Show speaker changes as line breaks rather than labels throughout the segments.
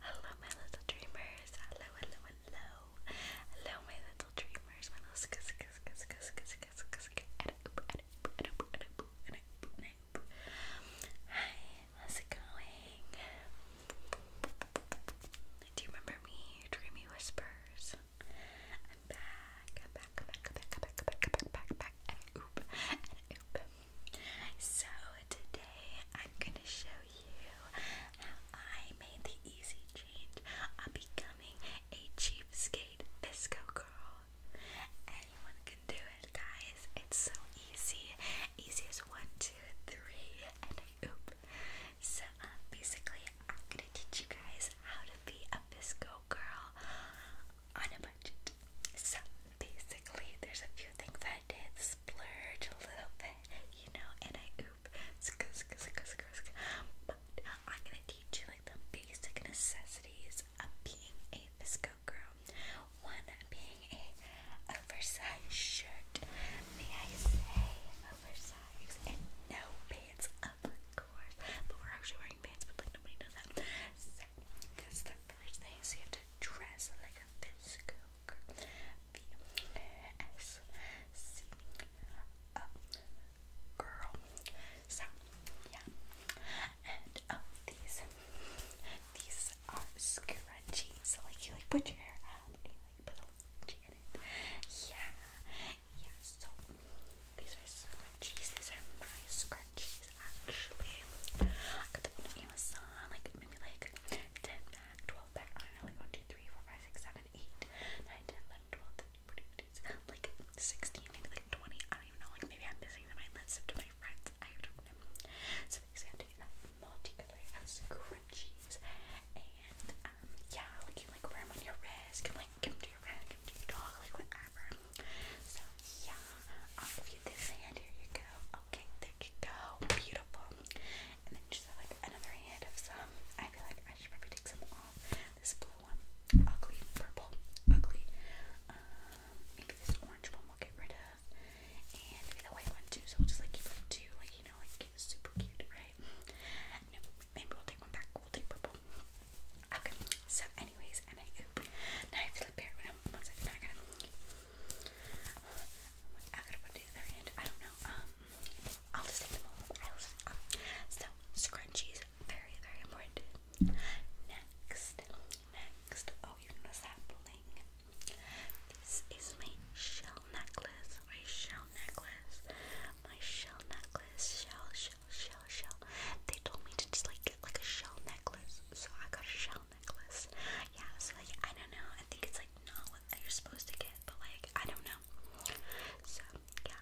hello, my little dreamers. Hello, hello, hello. Hello, my little dreamers. My little Hi, how's it going? Do you remember me? Dreamy Whispers. I'm back. I'm back. I'm back. I'm back. I'm back. I'm back. i back. back. So today I'm gonna show you how I made the easy change of becoming a cheap skate disco girl. Anyone can do it, guys. It's so easy. Easy as one, two, three, and a oop. So, um, basically, I'm gonna teach you guys how to be a Bisco girl on a budget. So, basically, there's a few things I did splurge a little bit, you know, and I oop. I'm gonna teach you like the basic necessities of being a Visco girl. One being a oversized shirt. May I say oversized and no pants, of course. But we're actually wearing pants, but like nobody knows that. So the first thing. you have to dress like a Visco girl girl. So yeah. And oh these these are scrunchies. So like you like put your hair up and you like put a scrunchie in it. Yeah. Yeah, so these are scrunchies. These are my scrunchies actually. I got them on Amazon, like maybe like 10 pack, 12 pack, I don't know, like 1, like 16, maybe like 20. I don't even know, like maybe I'm missing them. I list them to my friends. I don't So these have to be that multicolor And um, yeah, like wear them on your wrist, like give them to your friend, give them to your dog, like whatever. So yeah, I'll give you this hand. Here you go. Okay, there you go. Beautiful. And then just like another hand of some. I feel like I should probably take some off. This blue Ugly purple. Ugly. Um, maybe this orange one will get rid of. And maybe the white one too. So we'll just like keep them two, like you know, like super cute, right? maybe we'll take one back. We'll take purple. Okay. So anyways, and I Now I feel like bear one second, I gotta I gotta put the other hand. I don't know. Um I'll just take them all. I'll just, um, so scrunchies, very very important. Next, next. Oh, you notice that bling? This is my shell necklace. My shell necklace. My shell necklace. Shell, shell, shell, shell. They told me to just like get like a shell necklace, so I got a shell necklace. Yeah. So like I don't know. I think it's like not what you're supposed to get, but like I don't know. So yeah,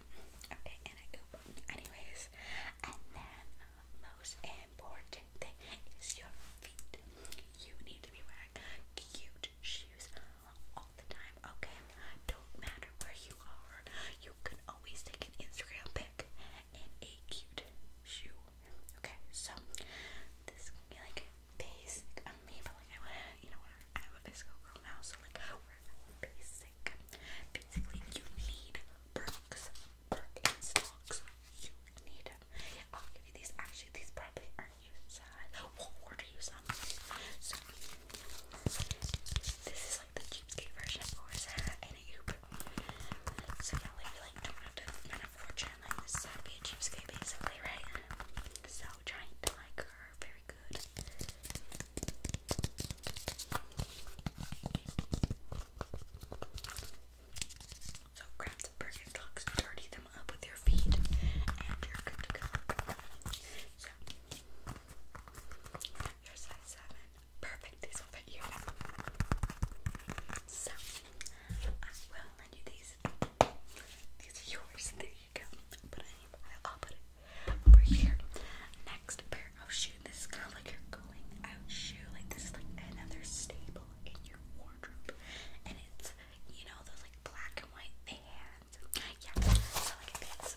Okay, I go. Anyways, and then uh, most important thing is your feet. You need to be wearing cute shoes all the time. Okay, don't matter where you are, you can always take an Instagram pic in a cute shoe. Okay, so this can be like basic on me, but like I want you know, I'm a physical girl now, so like we're basic basically you need Brooks, Brooks and Stocks. You need them. Oh, I'll give you these. Actually, these probably aren't your size. We'll order you some. So this is like the cheapskate version of course and a hoop. So that way we don't have to spend this is be a cheapskate basically, right? So trying to like her very good. So grab the burger dirty them up with your feet, and you're good to go. So, your size seven, perfect. These will fit you. So, I will lend you these. These are yours. They're you go. I'll put it over here. Next pair of oh, shoes. This is kind of like you're going out shoe. Like this is like another staple in your wardrobe. And it's, you know, those like black and white bands. Yeah, so look this.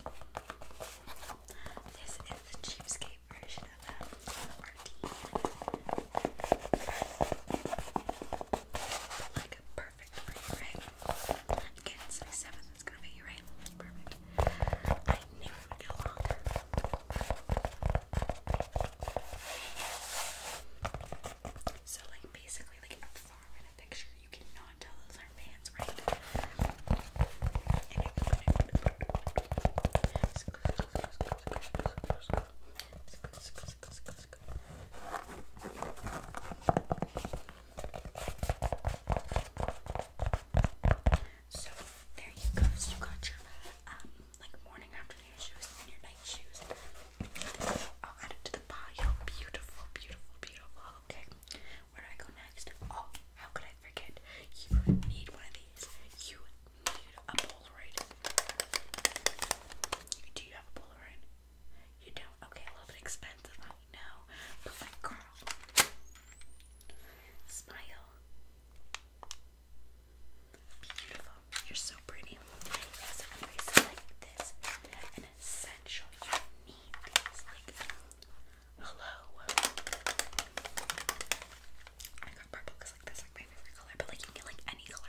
This is the cheapskate version of that. Like, perfect perfect for Again, it's the it's gonna be right? Perfect. I knew it would go long. So, like, basically, like, up far picture, you cannot tell those are pants, right? So there you go. So you got your um, like morning afternoon shoes and your night shoes. I'll add it to the pile. Beautiful, beautiful, beautiful. Okay. Where do I go next? Oh, how could I forget? You need one of these. You need a Polaroid. Do you have a Polaroid? You don't? Okay, a little bit expensive, I know. But like, girl, smile. Beautiful. You're so pretty. Yes, okay, so like this, an essential. You need hello. I got purple because like that's like my favorite color, but like you get like any color.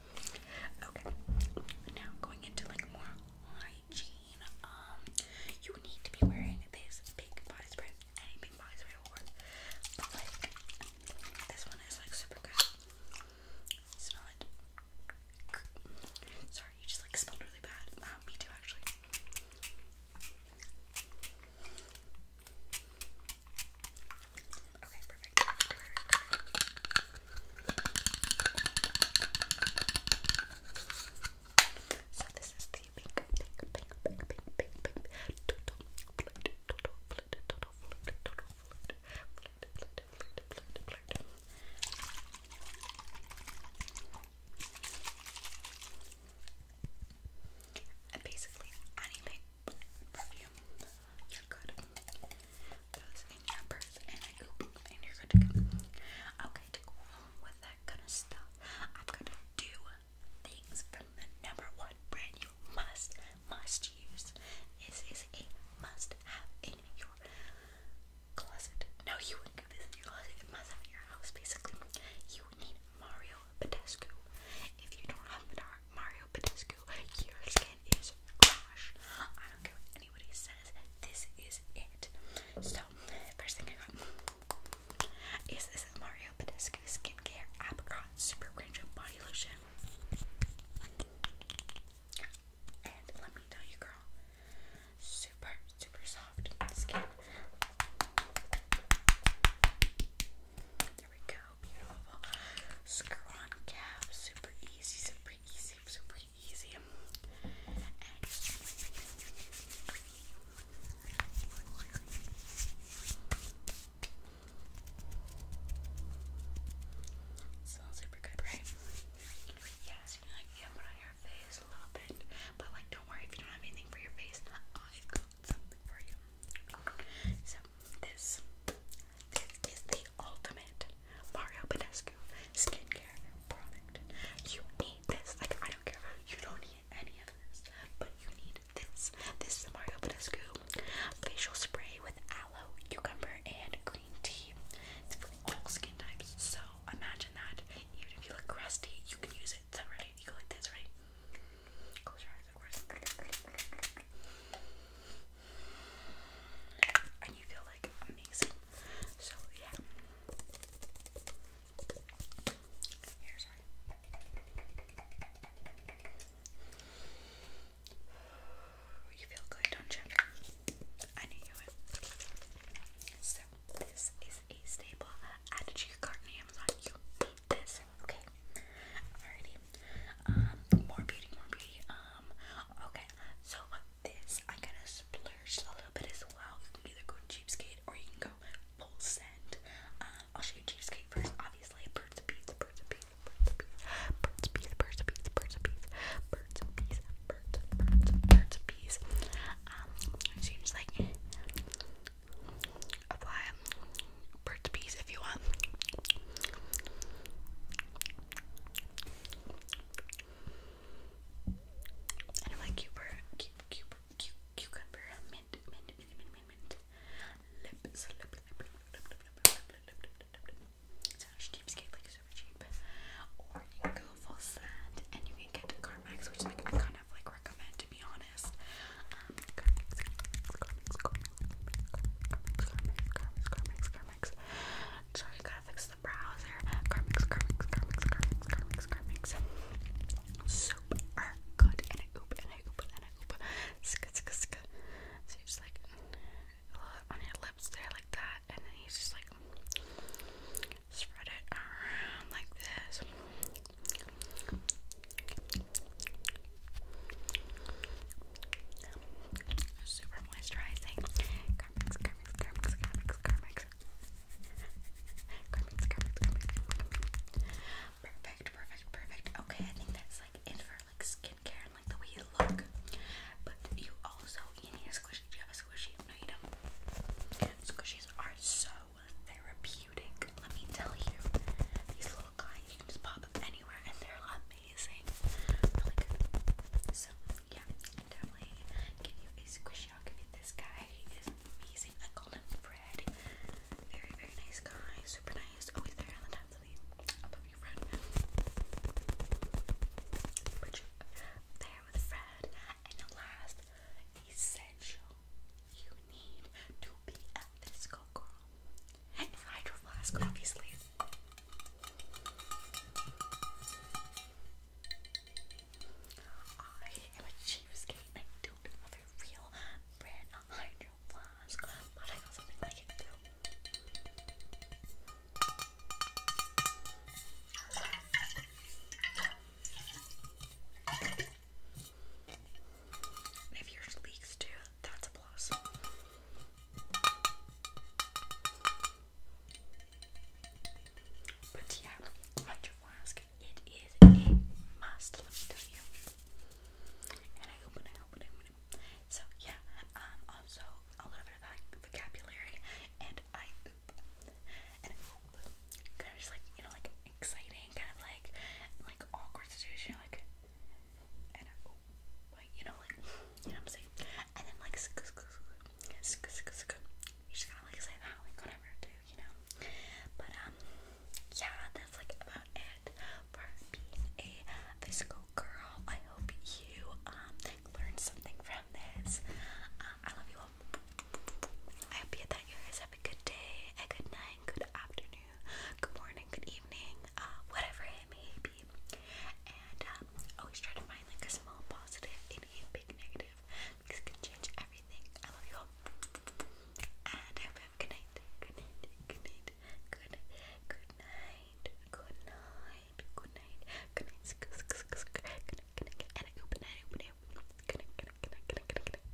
Okay, now going into like more hygiene. Um, you need to be wearing this pink body spray. Any pink body spray will work, but like this one is like super good. Smell it. Sorry, you just like smelled really bad. Um, me too, actually. Okay, perfect. So this is the pink, pink, pink, pink, pink, pink, pink, total flirt, total flirt, total flirt, total flirt, flirt, flirt, flirt, flirt, flirt. And basically anything from you, you're good. Okay, to go along with that kind of stuff, I'm gonna do things from the number one brand you must, must use. This is a must have in your closet. No, you wouldn't get this your closet. It must have in your house, basically. You need Mario Badescu. If you don't have Mario Badescu, your skin is trash. I don't care what anybody says, this is it. So, first thing I got is this Mario Badescu Skincare Apricot Super Cringe Body Lotion. And let me tell you, girl, super, super soft skin. There we go super easy, super easy, super easy. And super good, right? Yes, you like you on your face a little but like don't worry if you don't have anything for your face. I've got something for you. So this this is the ultimate Mario Badescu skincare product. You need this. Like, I don't care. You don't need any of this, but you need this. This is the Mario Badescu facial spray with aloe, cucumber, and green tea. It's for all skin types. So imagine that. Even if you look crusty, you can use it. Is that right? You go like this, right? Close your eyes course, And you feel like amazing. So, yeah. You feel good, don't you? I knew you would. So, this is a staple added to your cart on Amazon. You need this. Okay. Alrighty. Um, more beauty, more beauty. Um, okay. So this I kind of splurged a little bit as well. You can either go cheapskate or you can go full send. Um, I'll show you cheapskate first, obviously. Birds of bees, birds of bees, birds of bees, birds of bees, birds of bees, birds of bees, birds of bees. Um, so you just like apply Burt's Bees if you want. i like cucumber, cucumber, cucumber, mint, mint, mint, mint, mint, mint. Lips, lip, lip, lip, lip, lip, lip, lip, lip, lip, lip. It's not cheapskate, like super cheap. Or you can go full sand and you can get Carmex, which is like I kind of like recommend to be honest. So Carmex, gotta fix the browser. Carmex, Carmex, good, and I oop, and I oop, and I oop. Ska, ska, ska. So you just like on your lips there like that, and then you just like spread it around like this. Super moisturizing. Perfect, perfect, perfect. Okay, I think that's like it for like skincare and like the way you look. But you also need a squishy. Do you have a squishy? No, you don't. Squishies are so therapeutic. Let me tell you. These little little You can just pop up anywhere, and they're amazing. Really good. So yeah, definitely give you a squishy. i this guy. is amazing. I called him Fred. Very very nice guy. Super nice. Always there on the time of the above your friend. But you there with Fred. And the last essential you need to be a disco girl and Hydro Flask, obviously. I am a cheapskate and I don't have a real brand Hydro but I got something like it too. And if yours leaks too, that's a plus. But yeah, hydro flask, it is a must, let me I hope um, also a little bit like vocabulary and I Kind of just like, you know, like exciting, kind of like like awkward situation, like and I, oh, you know, like you know what I'm saying. And then like you just gotta like say that, like whatever, dude, you know. But um, yeah, that's like about it for being a physical girl. I hope you um learned something from this. Um, I love you all. I hope that you guys have a good day, a good night, good afternoon, good morning, good evening, uh, whatever it may be. And um, always try to find like a small positive in a big negative because can change everything. I love you all. And I hope you have a good night. Good night. Good night. Good night. Good night. Good night. Good night. Good night. Good night. Good night.